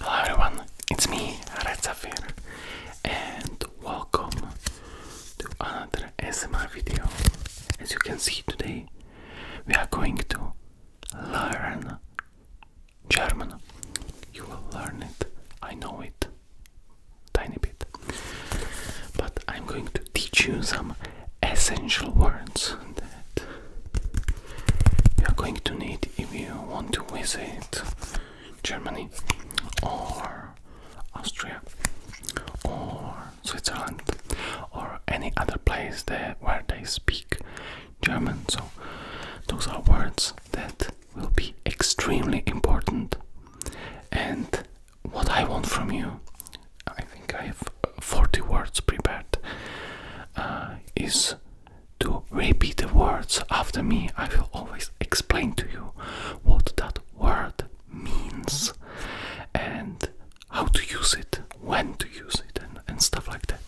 Hello everyone, it's me, Red and welcome to another SMR video. As you can see today, we are going to learn German. You will learn it, I know it, tiny bit. But I'm going to teach you some essential words that you're going to need if you want to visit Germany or Austria or Switzerland or any other place where they speak German. So those are words that will be extremely important and what I want from you I think I have 40 words prepared, uh, is to repeat the words after me. I will always explain to you what that word means and how to use it, when to use it, and stuff like that.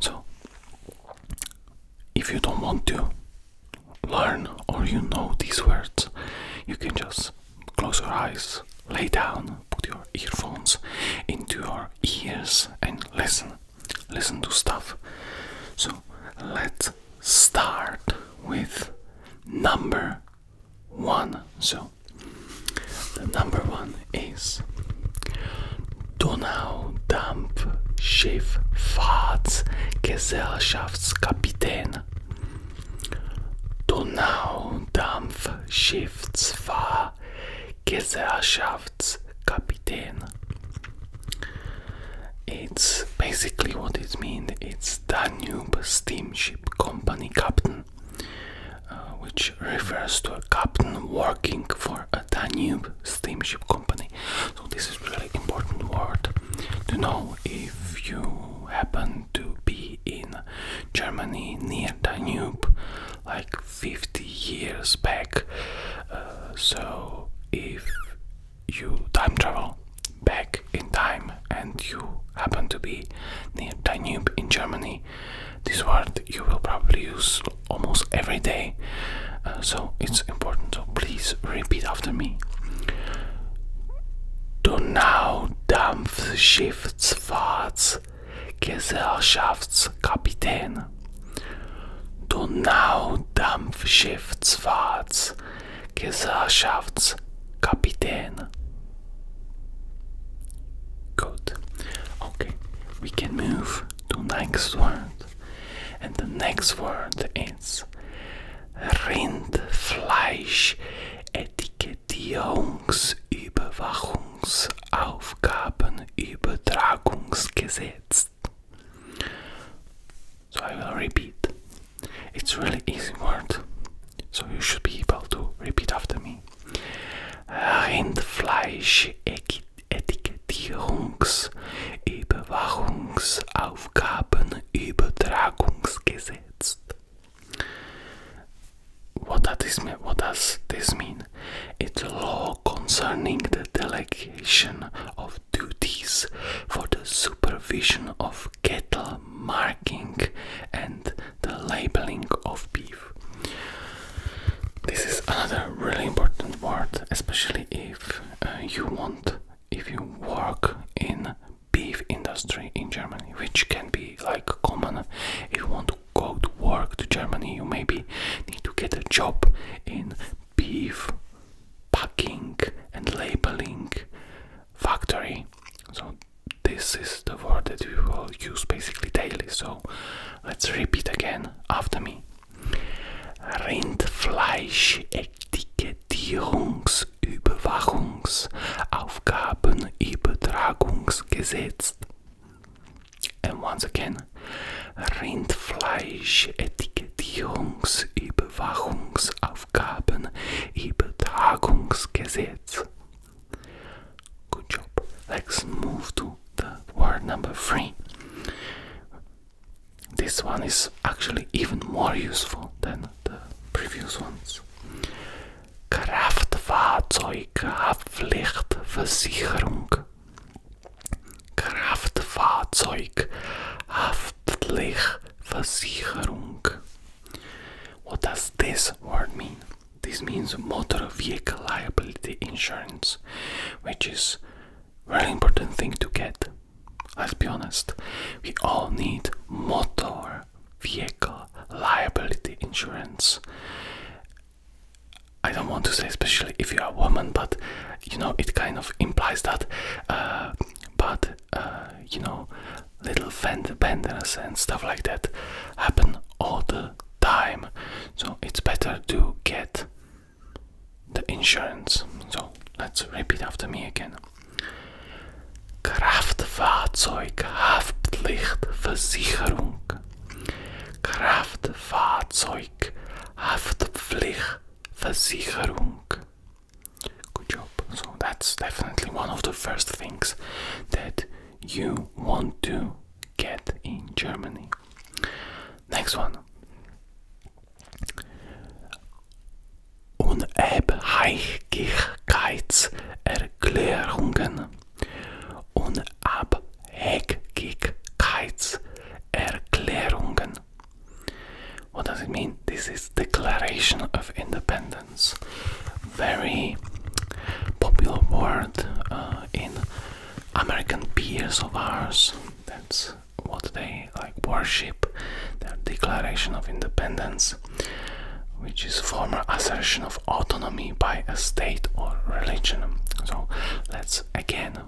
So, if you don't want to learn or you know these words, you can just close your eyes, lay down, put your earphones into your ears and listen. Listen to stuff. So let's start with number one. So the number one is Donau-Dampfschiff Donaudampfschiff Fahrtsgesellschaftskapitän. Donaudampfschiffsfahr Kaisershaft's captain. It's basically what it means. It's Danube Steamship Company Captain, uh, which refers to a captain working for a Danube steamship company. So this is really important word to know if you happen to be in Germany near Danube like 50 years back. Uh, so, if you time travel back in time and you happen to be near Danube in Germany, this word you will probably use almost every day. Uh, so, it's important. So, please repeat after me. Donaudampfschiffsfahrt Gesellschaftskapitän. Donaudampfschiffsfahrts Gesellschaftskapitän. Good. Okay, we can move to next word. And the next word is Rindfleisch Etikettierungsüberwachung. Verwaltungsaufgabenübertragungsgesetz. So I will repeat. It's really easy word, so you should be able to repeat after me. Rindfleisch-Etikettierungs-Überwachungsaufgabenübertragungsgesetz. what does this mean? It's a law concerning the delegation of duties for the supervision of cattle marking and the labeling of beef. This is another really important word, especially if uh, you want, if you work in beef industry in Germany, which can be like common if you want go to work to Germany, you maybe need to get a job in beef packing and labeling factory. So this is the word that we will use basically daily. So let's repeat again after me. Rindfleischetikettierungsüberwachungsaufgabenübertragungsgesetz and once again, Rindfleisch-Etikettierungsüberwachungsaufgaben Übertragungsgesetz. Good job. Let's move to the word number three. This one is actually even more useful than the previous ones. Kraftfahrzeughaftpflichtversicherung Kraftfahrzeughaftpflichtversicherung What does this word mean? This means motor vehicle liability insurance, which is a very important thing to get. Let's be honest, we all need motor vehicle liability insurance I don't want to say especially if you are a woman, but you know it kind of implies that. Uh, but uh, you know, little fender benders and stuff like that happen all the time. So it's better to get the insurance. So let's repeat after me again. Kraftfahrzeughaftpflichtversicherung. Kraftfahrzeug, Haftpflichtversicherung. Good job. So that's definitely one of the first things that you want to get in Germany. Next one. Unabhängigkeitserklärungen. Unabhängigkeitserklärungen. What does it mean? This is Declaration of Independence. Very popular word uh, in American peers of ours. That's what they like worship. Their Declaration of Independence, which is former assertion of autonomy by a state or religion. So let's again,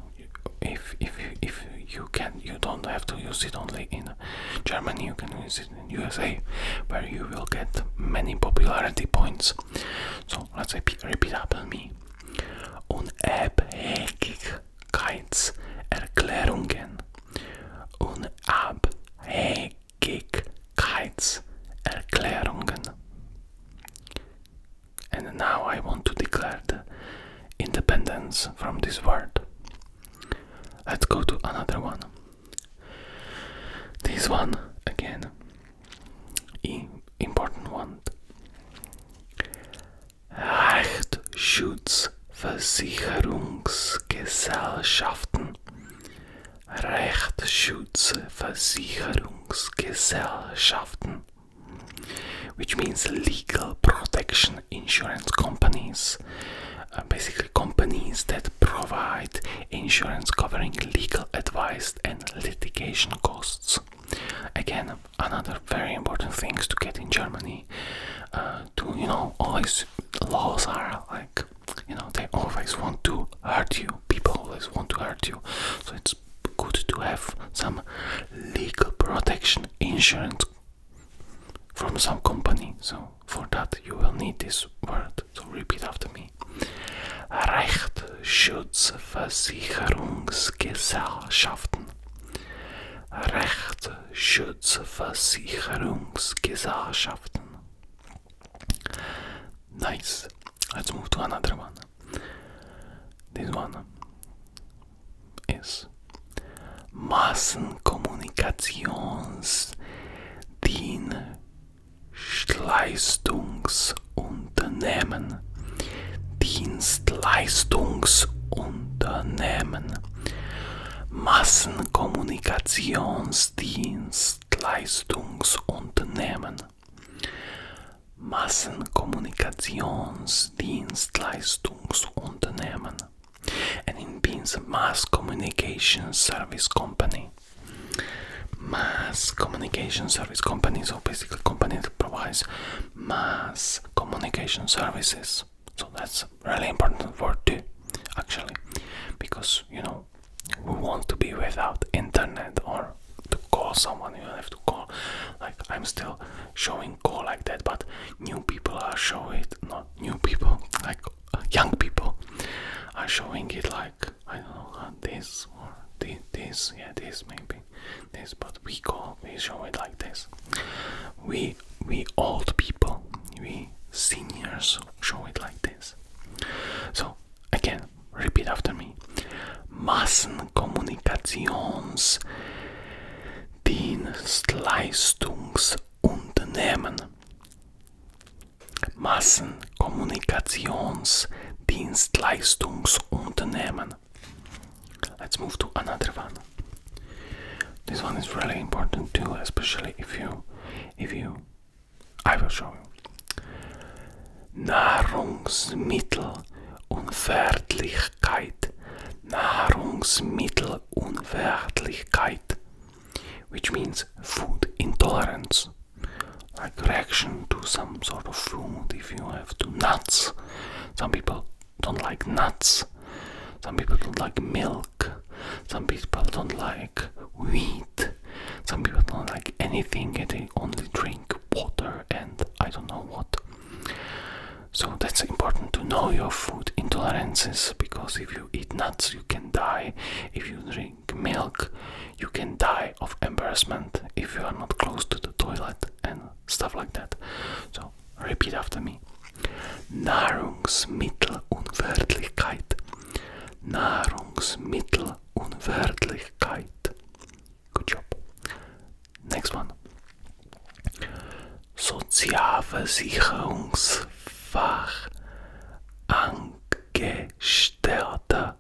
if if if you can, you don't have to use it only in Germany. You can use it in USA, where you will get many popularity points. So let's repeat, repeat after me. Unabhängigkeitserklärungen. Unabhängigkeitserklärungen. And now I want to declare the independence from this word. Let's go to another one. This one again. important one. Rechtsschutz rechtsschutz which means legal protection insurance companies, uh, basically companies that provide insurance covering legal advice and litigation costs. Again, another very important thing to get in Germany. Uh, to you know, always laws are like you know they always want to hurt you People always want to hurt you. So it's good to have some legal protection insurance from some company. So for that you will need this word. So repeat after me. Rechtsschutzversicherungsgesellschaften. Rechtsschutzversicherungsgesellschaften. Nice. Let's move to another one. This one is Massenkommunikationsdienstleistungsunternehmen. Dienstleistungsunternehmen. Massenkommunikationsdienstleistungsunternehmen. Massenkommunikationsdienstleistungsunternehmen and it means mass communication service company mass communication service companies so basically companies that provide mass communication services so that's really important word too actually because you know we want to be without internet or to call someone you have to call like i'm still showing call like that but new people are showing it not new people like uh, young people are showing it like i don't know uh, this or this yeah this maybe this but we call we show it like this we we old people we seniors show it like this so again Repeat after me. Massenkommunikationsdienstleistungsunternehmen. Massenkommunikationsdienstleistungsunternehmen. Let's move to another one. This one is really important too, especially if you if you I will show you. Nahrungsmittelunverträglichkeit. Nahrungsmittelunverträglichkeit. Which means food intolerance. Like reaction to some sort of food if you have to nuts. Some people don't like nuts. Some people don't like milk. Some people don't like wheat. Some people don't like anything and they only drink water and I don't know what. So that's important to know your food intolerances because if you eat nuts, you can die. If you drink milk, you can die of embarrassment if you are not close to the toilet and stuff like that. So repeat after me. Nahrungsmittelunvertlichkeit. Nahrungsmittelunvertlichkeit. Good job. Next one. Sozialversicherungsfachangestellter.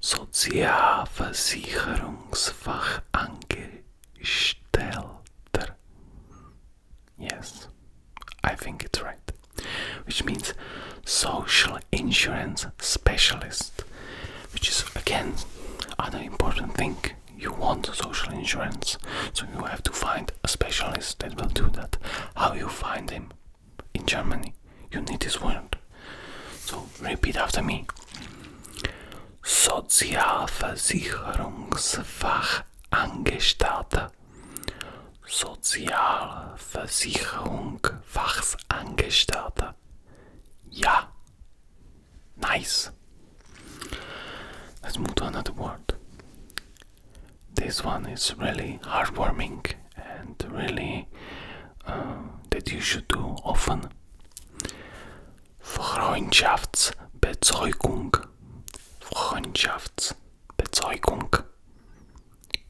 Sozialversicherungsfachangestellter. Yes, I think it's right. Which means social insurance specialist, which is again another important thing. You want social insurance, so you have to find a specialist that will do that. How you find him in Germany? You need this word. So repeat after me. Sozialversicherungsfachangestellte. Sozialversicherung Fachangestellte. Yeah. Nice. Let's move to another word. This one is really heartwarming and really uh, that you should do often. Freundschaftsbezeugung. Freundschaftsbezeugung.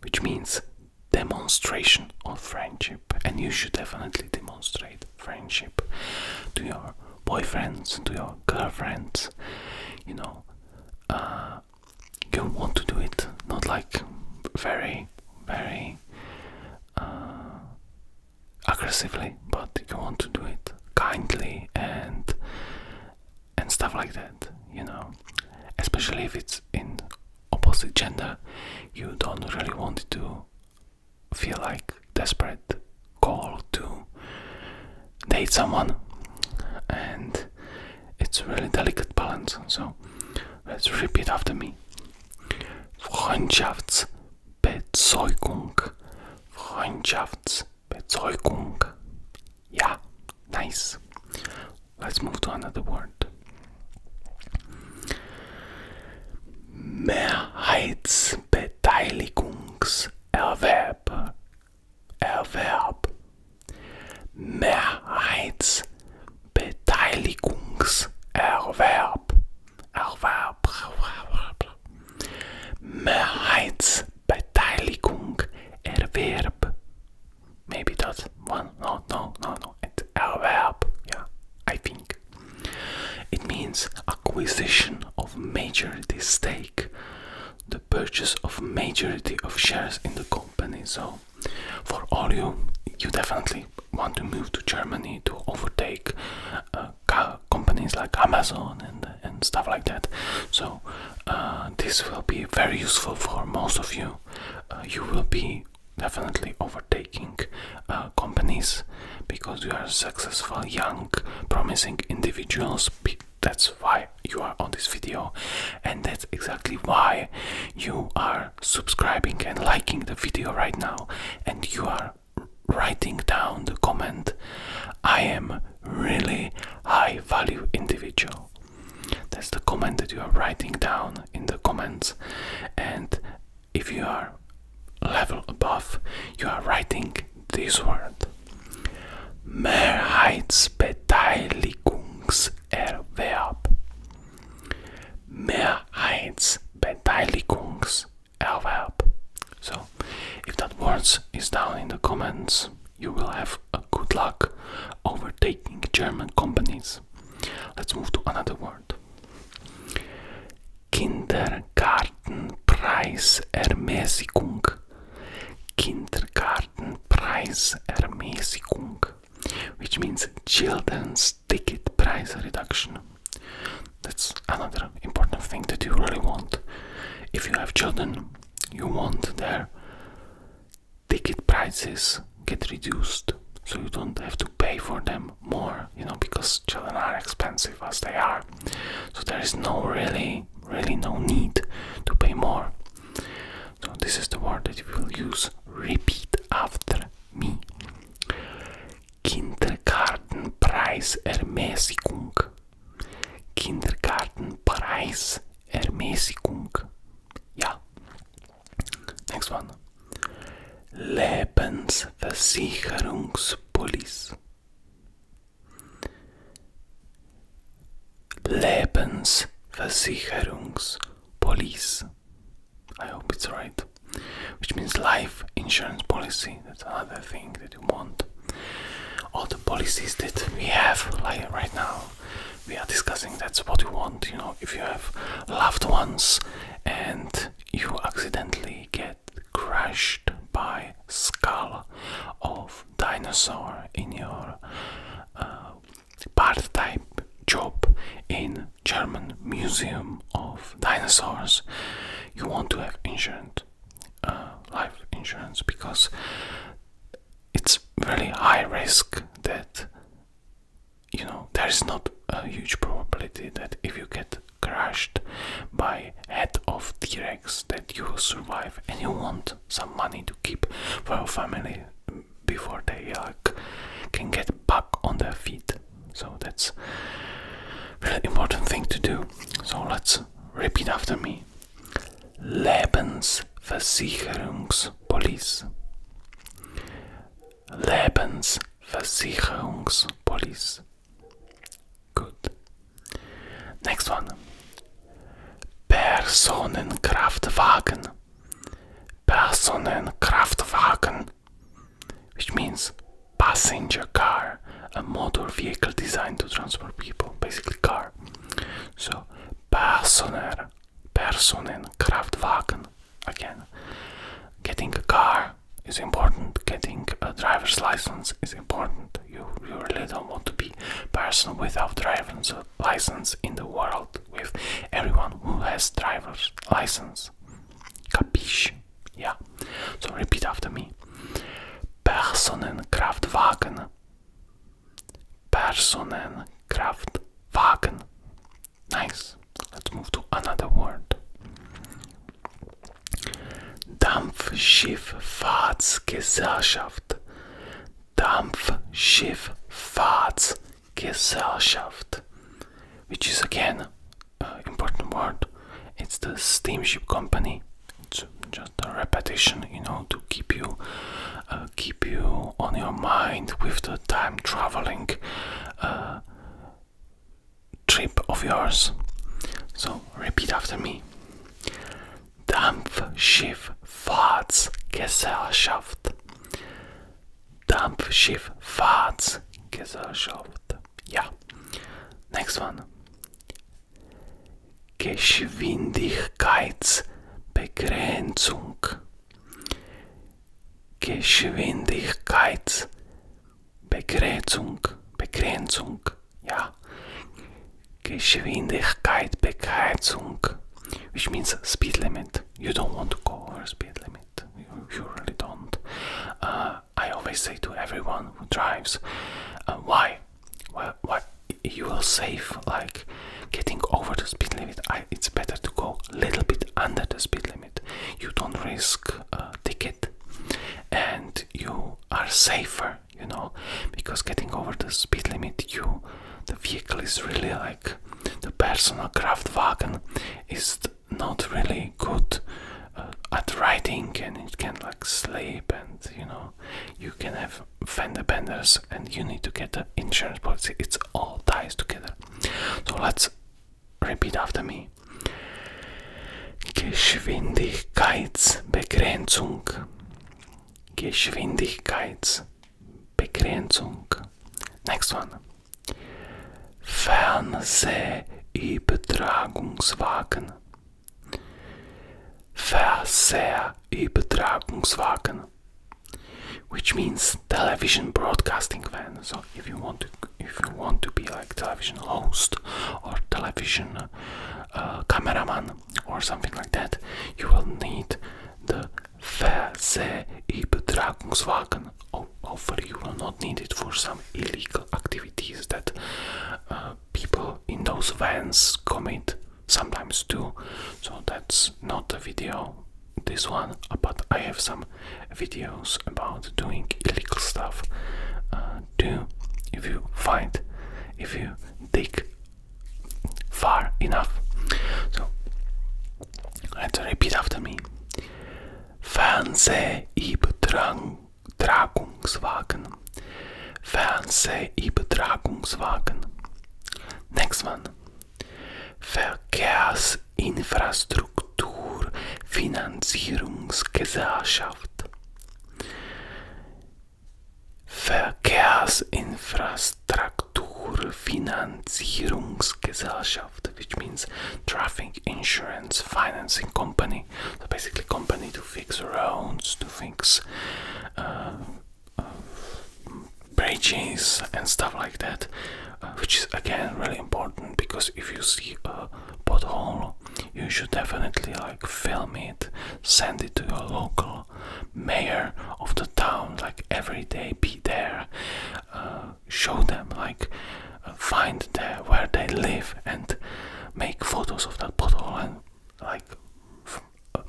Which means demonstration of friendship, and you should definitely demonstrate friendship to your boyfriends, to your girlfriends. You know, uh, you want to do it, not like very, very uh, aggressively, but you want to do it kindly and and stuff like that. You know, especially if it's in opposite gender, you don't really want to feel like desperate call to date someone and it's really delicate balance so let's repeat after me Freundschaftsbezeugung Freundschaftsbezeugung ja nice Let's move to another word. Mehrheitsbeteiligungserwerb. Erwerb. Mehrheitsbeteiligungserwerb. Erwerb. Mehrheitsbeteiligung. Erwerb maybe that's one no no no no it's a verb yeah i think it means acquisition of majority stake the purchase of majority of shares in the company so for all you you definitely want to move to germany to overtake uh, companies like amazon and and stuff like that so uh, this will be very useful for most of you uh, you will be definitely overtaking uh, companies because you are successful, young, promising individuals. That's why you are on this video, and that's exactly why you are subscribing and liking the video right now, and you are writing down the comment I am really high value individual. That's the comment that you are writing down in the comments and if you are level above you are writing this word Mehrheitsbeteiligungserwerb Mehrheitsbeteiligungserwerb So if that word is down in the comments you will have a good luck overtaking German companies Let's move to another word. kindergarten Kindergartenpreisermäßigung. Kindergartenpreisermäßigung, which means children's ticket price reduction. That's another important thing that you really want. If you have children, you want their ticket prices get reduced so you don't have to pay for them more you know because children are expensive as they are so there is no really really no need to pay more so this is the word that you will use repeat after me Kindergarten kindergartenpreisermäßigung kindergartenpreisermäßigung ja Next one. Lebensversicherungspolice. Lebensversicherungspolice. I hope it's right. Which means life insurance policy. That's another thing that you want. All the policies that we have like right now we are discussing that's what you want you know if you have loved ones and you accidentally get crushed by skull of dinosaur in your uh, part-time job in German Museum of Dinosaurs you want to have insurance uh, life insurance because it's very high risk that you know there is not a huge probability that if you get crushed by head of t-rex that you will survive and you want some money to keep for your family before they can get back on their feet so that's really important thing to do so let's repeat after me lebensversicherungspolice Lebensversicherungspolice. Good. Next one. Personenkraftwagen. Personenkraftwagen. Which means passenger car, a motor vehicle designed to transport people, basically car. So, Personer Personen, Kraftwagen again. Getting a car is important, getting a driver's license is important. You, you really don't want to be person without driver's license in the world with everyone who has driver's license. Capiche? Yeah. So repeat after me. Personen Kraftwagen. Personen Kraftwagen. Nice. Let's move to another word. Dampfschifffahrtsgesellschaft. Dampfschifffahrtsgesellschaft. Which is again important word. It's the steamship company. It's just a repetition, you know, to keep you, uh, keep you on your mind with the time traveling uh, trip of yours. So repeat after me. Dampfschifffahrtsgesellschaft. Dampfschifffahrtsgesellschaft. Ja. Next one. Geschwindigkeitsbegrenzung. Geschwindigkeitsbegrenzung, Begrenzung, ja. Geschwindigkeit Begrenzung, which means speed limit. You don't want to go over speed limit. You, really don't. Uh, I always say to everyone who drives, uh, why? why? You will save like getting over the speed limit. it's better to go a little bit under the speed limit. You don't risk a ticket and you are safer, you know, because getting over the speed limit, you the vehicle is really like the personal wagon, is not really good uh, at riding and it can like slip and you know you can have fender benders and you need to get the insurance policy. It's all ties together. So let's Repeat after me. Geschwindigkeitsbegrenzung. Geschwindigkeitsbegrenzung. Next one. Fernsehübertragungswagen. Fernsehübertragungswagen. which means television broadcasting van. So if you want to, if you want to be like television host or television uh, cameraman or something like that, you will need the Verseübertragungswagen. Hopefully, you will not need it for some illegal activities that uh, people in those vans commit sometimes too. So that's not a video this one, uh, but I have some videos about doing illegal stuff uh, If you find, if you dig far enough. So, I have to repeat after me. übertragungswagen, Tragungswagen. übertragungswagen. Next one. Verkehrsinfrastruktur which means traffic insurance financing company so basically company to fix roads to fix uh, uh, bridges and stuff like that which is again really important because if you see a pothole, you should definitely like film it, send it to your local mayor of the town, like every day be there, uh, show them, like uh, find there where they live and make photos of that pothole and like uh,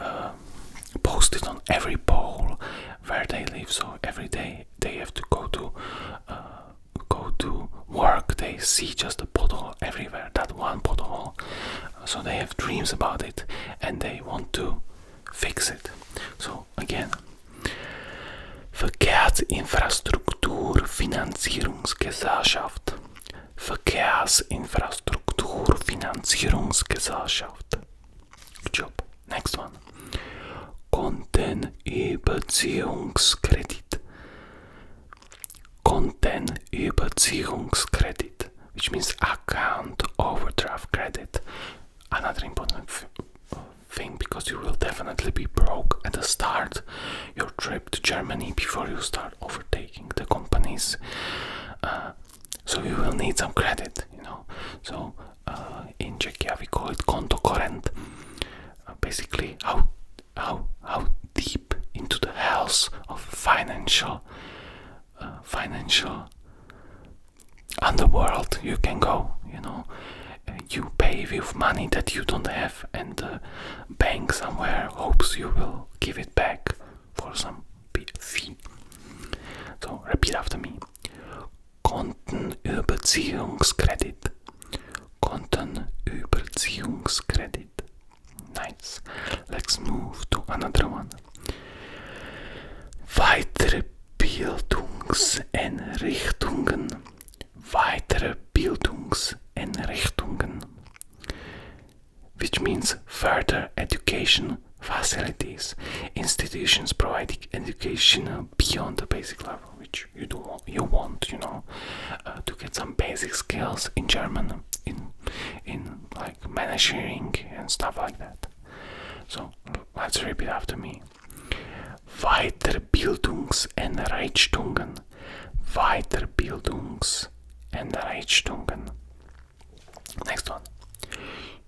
uh, post it on every pole where they live. So every day they have to go to uh, go to work. They see just a pothole everywhere. That one pothole. So they have dreams about it and they want to fix it. So again. Verkehrsinfrastrukturfinanzierungsgesellschaft. Verkehrsinfrastrukturfinanzierungsgesellschaft. Good job. Next one. überziehungskredit, Kontenüberziehungskredit. überziehungskredit, which means account overdraft credit. Another important thing because you will definitely be broke at the start your trip to Germany before you start overtaking the companies. Uh, so you will need some credit, you know. So uh, in Czechia we call it konto current. Uh, basically, how how how deep into the hells of financial uh, financial underworld you can go. You know, uh, you pay with money that you don't have, and the bank somewhere hopes you will give it back for some fee. So repeat after me. Konten Überziehungskredit. Konten Überziehungskredit. Nice. Let's move to another one. Weitere Bildungseinrichtungen. Weitere Bildungseinrichtungen. Which means further education facilities, institutions providing education beyond the basic level, which you do you want, you know, uh, to get some basic skills in German, in in like managing and stuff like that. So let's repeat after me. Weiterbildungs- and Reichtungen. Weiterbildungs- and Reichtungen. Next one.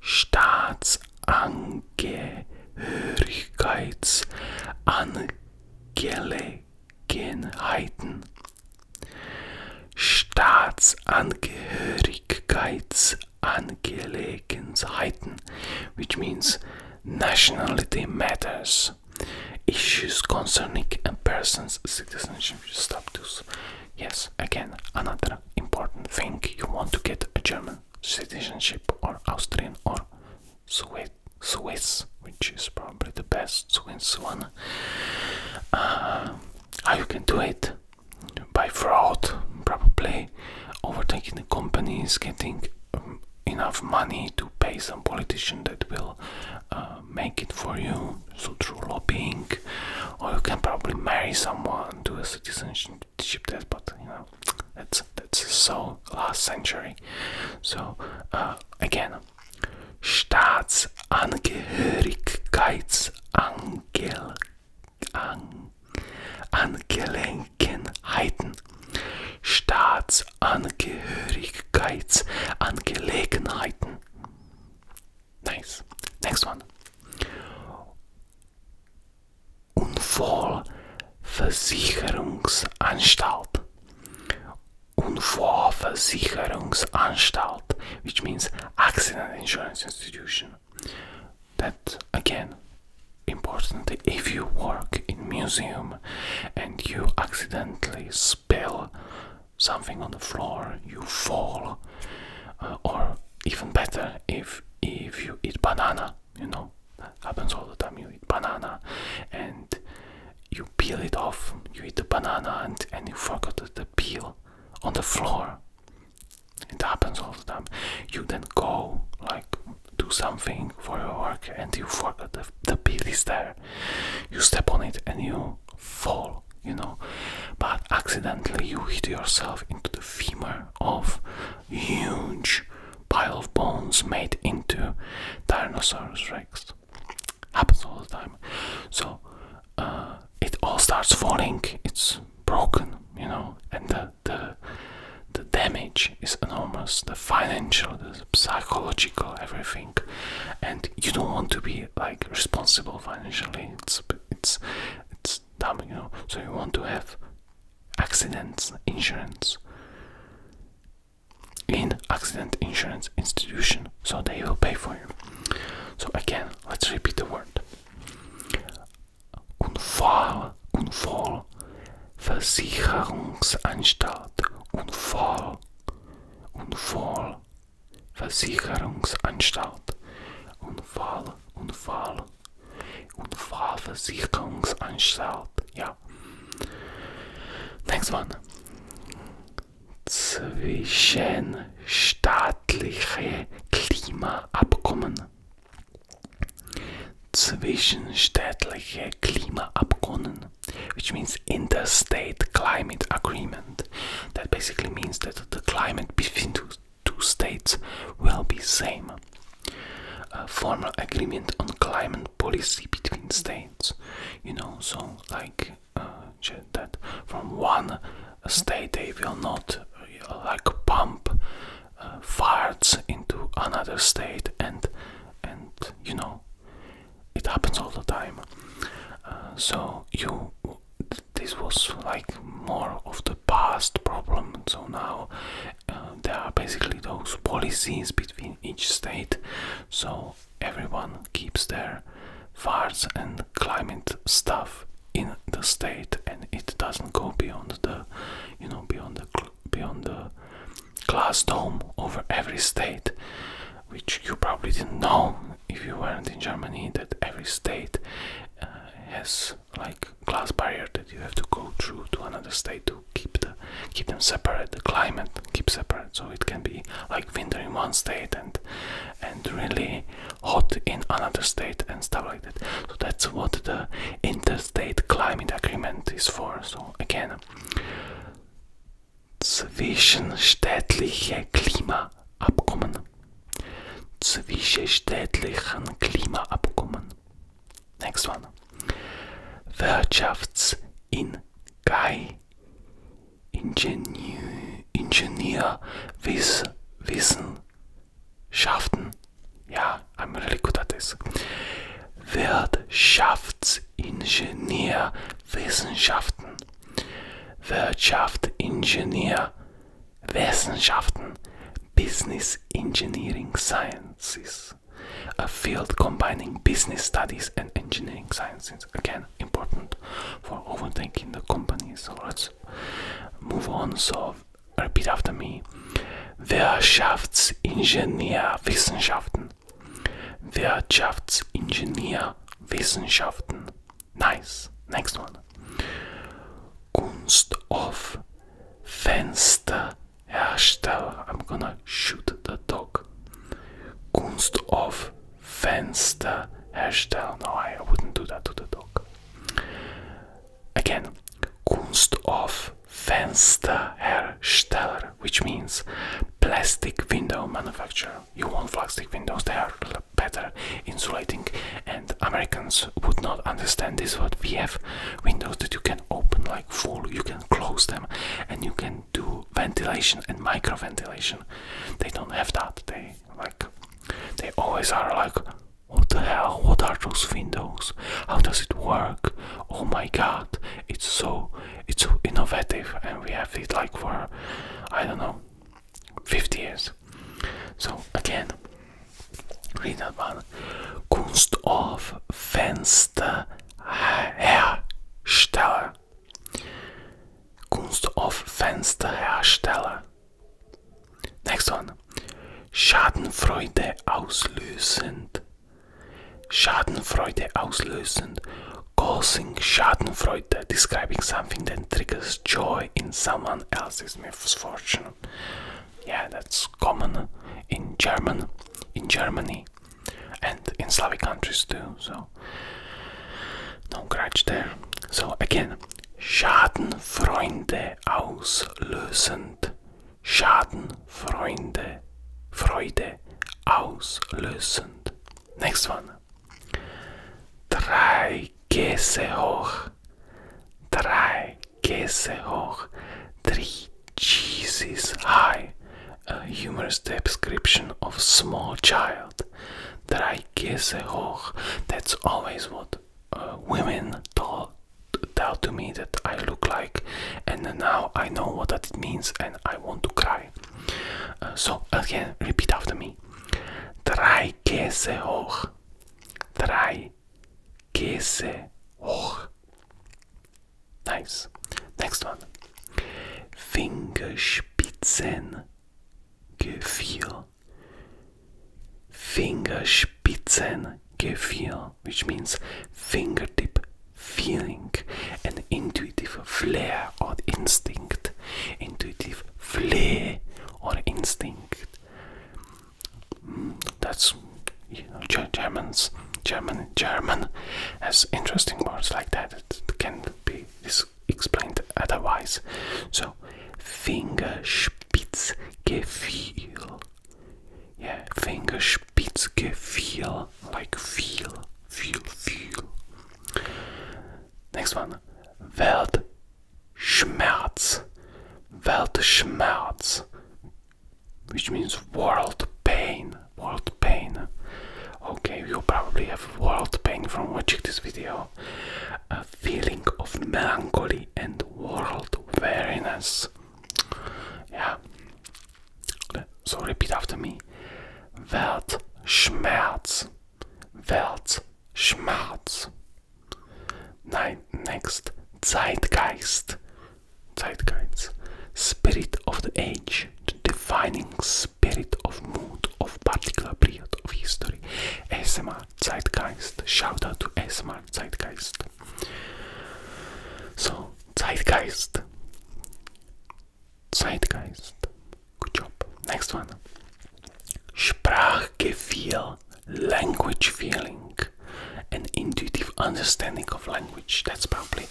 Staatsangehörigkeitsangelegenheiten which means nationality matters. Issues concerning a person's citizenship. Stop Yes, again, another important thing. You want to get a German citizenship or Austrian or Swiss, Swiss which is probably the best Swiss one. Uh, how you can do it? By fraud, probably overtaking the companies, getting um, enough money to pay some politician that will uh, make it for you, so through lobbying, or you can probably marry someone to a citizenship ship that, but you know, that's that's so last century. So uh, again, Staatsangehörigkeitsangel Angelegenheiten. Staatsangehörigkeitsangelegenheiten. Nice. Next one. Unfallversicherungsanstalt. Unfallversicherungsanstalt, which means accident insurance institution. That again, important if you work in museum and you accidentally spill something on the floor, you fall, uh, or even better, if if you eat banana you know that happens all the time you eat banana and you peel it off you eat the banana and, and you forgot the peel on the floor it happens all the time you then go like do something for your work and you forgot the, the peel is there you step on it and you fall you know but accidentally you hit yourself into the femur of huge pile of bones made into Tyrannosaurus Rex. Happens all the time. So uh, it all starts falling. It's broken, you know, and the the the damage is enormous. The financial, the psychological, everything, and you don't want to be like responsible financially. It's it's it's dumb, you know. So you want to have Accidents insurance in accident insurance institution so they will pay for you so again let's repeat the word unfall unfall versicherungsanstalt unfall unfall versicherungsanstalt unfall unfall und Fahrversicherungsanstalt. Ja. Next one. Zwischenstaatliche Klimaabkommen. Zwischenstaatliche Klimaabkommen, which means interstate climate agreement. That basically means that the climate between two states will be same. formal agreement on climate policy between states, you know, so like uh, that from one state they will not uh, like pump uh, farts into another state and and you know it happens all the time. so you this was like more of the past problem. So now um, there are basically those policies between each state, so everyone keeps their farts and climate stuff in the state, and it doesn't go beyond the, you know, beyond the beyond the glass dome over every state, which you probably didn't know if you weren't in Germany that every state uh, has like glass barrier that you have to go through to another state to keep the keep them separate the climate keep separate so it can be like winter in one state and and really hot in another state and stuff like that so that's what the interstate climate agreement is for so again zwischenstaatliche klimaabkommen zwischenstaatlichen klimaabkommen Next one. Wirtschaftsin Guy. Ingenieur, Ingenieur Wiss, Wissenschaften. Ja, I'm really good at this. Wirtschaftsingenieur Wissenschaften. Wirtschaftsingenieur Wissenschaften, Business Engineering Sciences, a field combining business studies and engineering sciences. Again, important for overtaking the company. So let's move on. So repeat after me. Wirtschaftsingenieurwissenschaften. Wirtschaftsingenieurwissenschaften. Nice. Next one. Kunst of Fenster I'm gonna shoot the dog. Kunst of Fenster No, I wouldn't do that to the dog. Again, Kunst of Fenster which means plastic window manufacturer. You want plastic windows, they are better insulating, and Americans would not understand this. What we have windows that you can open like full, you can close them, and you can do ventilation and micro ventilation. They don't have that. They like they always are like what the hell? What are those windows? How does it work? Oh my god, it's so it's so innovative and we have it like for I don't know 50 years. So again Rinnad man Kunst av Fensterhersteller. Kunst of Fensterhersteller. Next one. Schadenfreude auslösend. Schadenfreude auslösend. Causing Schadenfreude. Describing something that triggers joy in someone else's misfortune. Yeah, that's was common in German, in Germany, and in Slavic countries too. So no grudge there. So again, Schadenfreude auslösend, Schadenfreude, Freude auslösend. Next one. Drei Käse hoch. hoch, drei Käse hoch, three cheeses high. A humorous description of small child. Drei Käse hoch. That's always what uh, women told tell to me that I look like, and now I know what that means, and I want to cry. Uh, so again, repeat after me. Drei Käse hoch. Drei Käse hoch. Nice. Next one. Fingerspitzengefühl. Fingerspitzengefühl, which means fingertip feeling, an intuitive flair or instinct. Intuitive flair or instinct. That's you know Germans, German, German has interesting words like that. It can be explained otherwise. So Fingerspitzgefühl. Yeah, Fingerspitzgefühl, like feel, feel, feel. Next one, Weltschmerz, Weltschmerz, which means world pain. World pain. Okay, you probably have world pain from watching this video. A feeling of melancholy and world weariness. Yeah. So repeat after me. Weltschmerz. Weltschmerz. Next, Zeitgeist. Zeitgeist. Spirit of the age, the defining spirit of mood of particular period of history. ASMR Zeitgeist. Shout out to ASMR Zeitgeist. So, Zeitgeist. Zeitgeist. Good job. Next one. Sprachgefühl language feeling and intuitive understanding of language. That's probably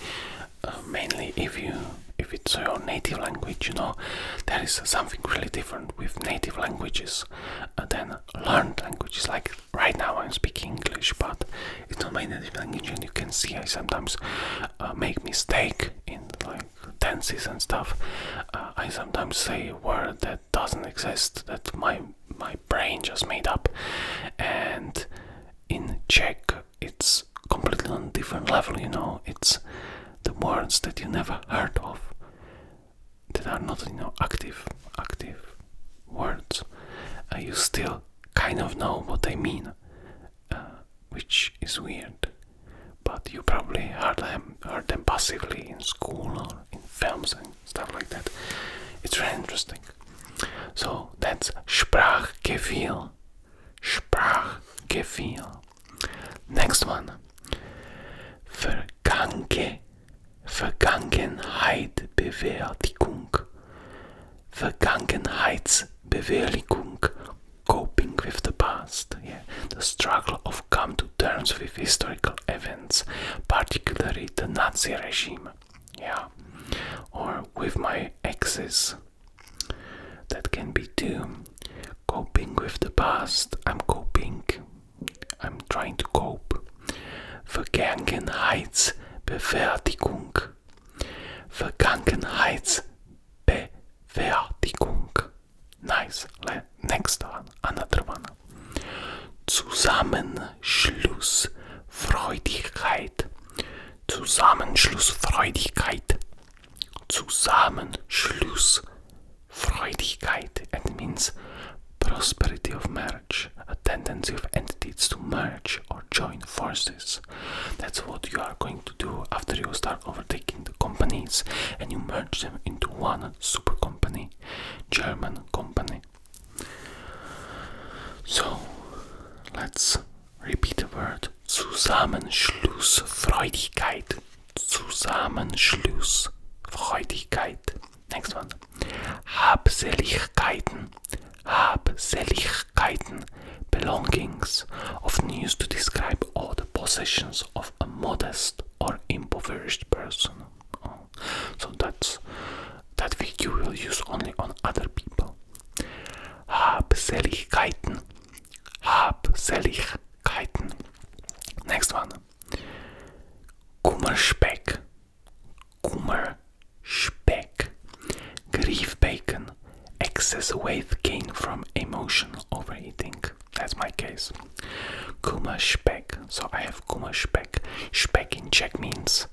uh, mainly if you if it's your native language, you know, there is something really different with native languages uh, than learned languages. Like right now, I'm speaking English, but it's not my native language, and you can see I sometimes uh, make mistake in like tenses and stuff. I sometimes say word that doesn't exist that my my brain just made up and in Czech it's completely on different level you know it's the words that you never heard of that are not you know active active words uh, you still kind of know what they mean uh, which is weird but you probably heard them heard them passively in school or in films stuff like that. It's really interesting. So that's Sprachgefühl. Sprachgefühl. Next one. Vergange. Vergangenheit Bewertigung. Vergangenheitsbewältigung. Coping with the past. Yeah. The struggle of come to terms with historical events, particularly the Nazi regime yeah, or with my exes. That can be too. Coping with the past, I'm coping, I'm trying to cope. Vergangenheitsbewertigung. Vergangenheitsbewertigung. Nice. Next one, another one. Zusammenschlussfreudigkeit, Zusammenschlussfreudigkeit, Zusammenschlussfreudigkeit. It means prosperity of marriage, a tendency of entities to merge or join forces. That's what you are going to do after you start overtaking the companies and you merge them into one super company, German company. So let's repeat the word Zusammenschlussfreudigkeit. Zusammenschlussfreudigkeit. Next one. Habseligkeiten. Habseligkeiten. Belongings often used to describe all the possessions of a modest or impoverished person. Oh so that's that video you will use only on other people Habseligkeiten Habseligkeiten next one Kummer Speck, Kummer Speck, Grief bacon excess weight gain from emotional overeating that's my case Kummer Speck. so I have Kummerspeck Speck in Czech means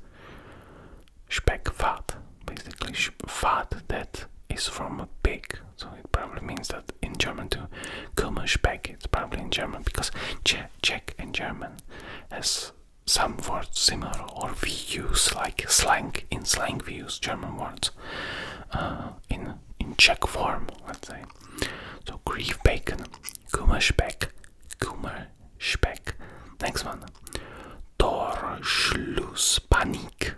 Speckfat, basically fat that is from a pig. So it probably means that in German too. Kummer Speck, it's probably in German because Czech and German has some words similar or we use like slang, in slang we use German words uh, in, in Czech form, let's say. So grief bacon Kummer Speck. Kummer Speck. Next one. door door schluss panik,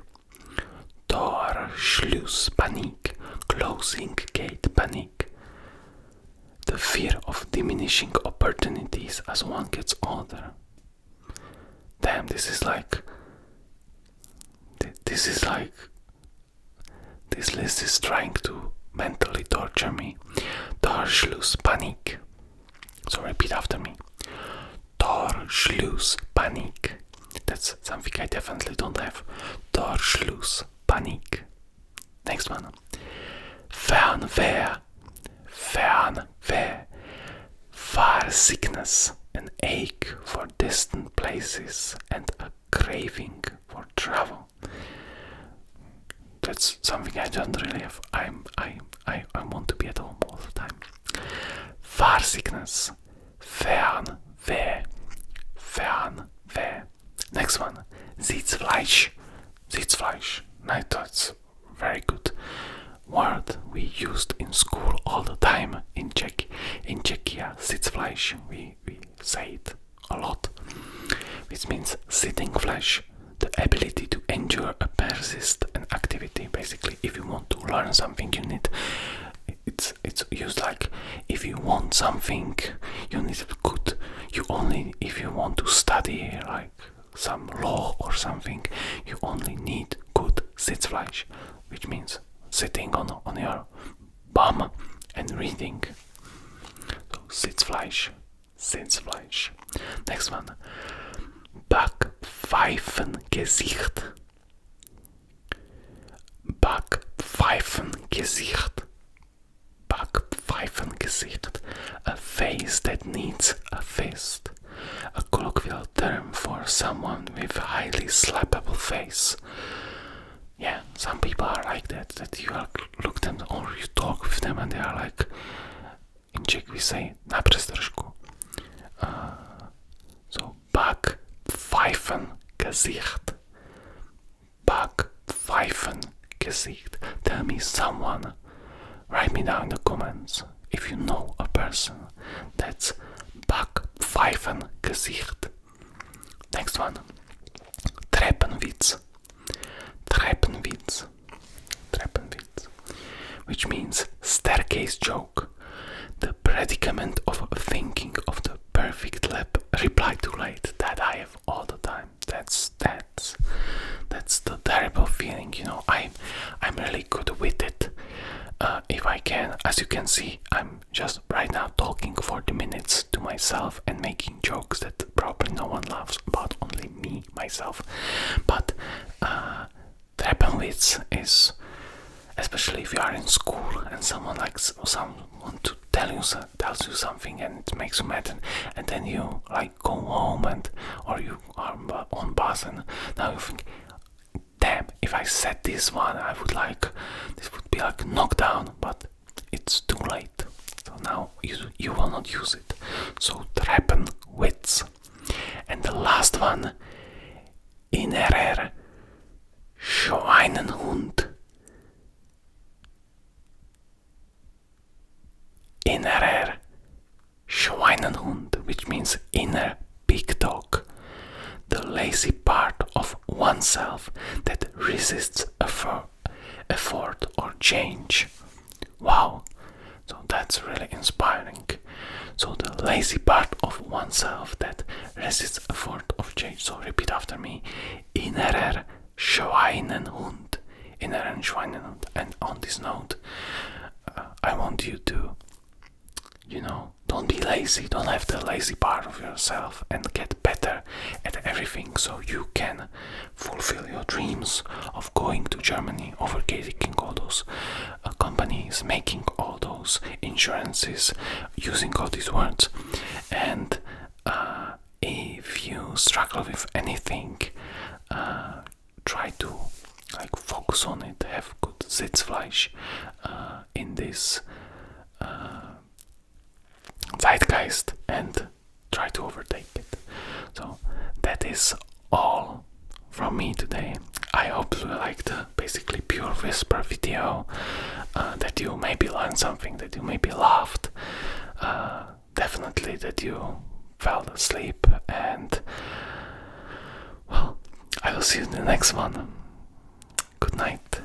schluss panik, Closing gate panic. The fear of diminishing opportunities as one gets older. Damn, this is like. This is like. This list is trying to mentally torture me okay? Torschlusspanik. So repeat after me. Torschlusspanik. That's something I definitely don't have. Torschlusspanik. Next one. Fernwehr. Fernwehr. Far sickness. An ache for distant places and a craving for travel that's something I don't really have. I'm I I I want to be at home all the time. Far sickness. Fern weh. Fern weh. Next one. Sitzfleisch. Sitzfleisch. Now that's very good word we used in school all the time in Czech in Czechia. Sitzfleisch. We we say it a lot, which means sitting flash. the ability to endure a persist an activity. Basically, if you want to learn something, you need it's it's used like if you want something, you need good. You only if you want to study like some law or something, you only need good sit flash, which means sitting on on your bum and reading. So sit flash. Sehnsfleisch. Next one. Backpfeifengesicht. Backpfeifengesicht. Backpfeifengesicht. A face that needs a fist. A colloquial term for someone with a highly slappable face. Yeah, some people are like that, that you are look them or you talk with them and they are like in Czech we say na přestržku. Uh, so back pfeifen Gesicht. Back pfeifen Gesicht. Tell me someone. Write me down in the comments if you know a person that's back pfeifen Gesicht. Next one. Treppenwitz. Treppenwitz. Treppenwitz, which means staircase joke, the predicament of thinking of the perfect lep reply too late that I have all the time. That's that's that's the terrible feeling, you know. I'm I'm really good with it. Uh, if I can, as you can see, I'm just right now talking 40 minutes to myself and making jokes that probably no one laughs, but only me myself but uh, the happens is especially if you are in school and someone likes someone to tell you tells you something and it makes you mad and, and then you like go home and or you are on bus and now you think damn if I said this one I would like this would be like knock down but it's too late. So now you, you will not use it. So trappen wits. And the last one innerer Schweinenhund. Innerer Schweinenhund, which means inner big dog. The lazy part of oneself that resists effort effort or change. Wow, so that's really inspiring. So, the lazy part of oneself that resists effort of change. So, repeat after me innerer Schweinenhund. Inneren Schweinenhund. And on this note, uh, I want you to, you know, don't be lazy, don't have the lazy part of yourself and get better at everything so you can fulfill your dreams of going to Germany, overtaking all those uh, companies, making all those insurances, using all these words. And uh, if you struggle with anything, uh, try to like focus on it, have good Sitzfleisch uh, in this uh, zeitgeist and try to overtake it. So that is all from me today. I hope you liked the basically pure whisper video, uh, that you maybe learned something, that you maybe laughed, uh, definitely that you fell asleep, and well, I will see you in the next one. Good night.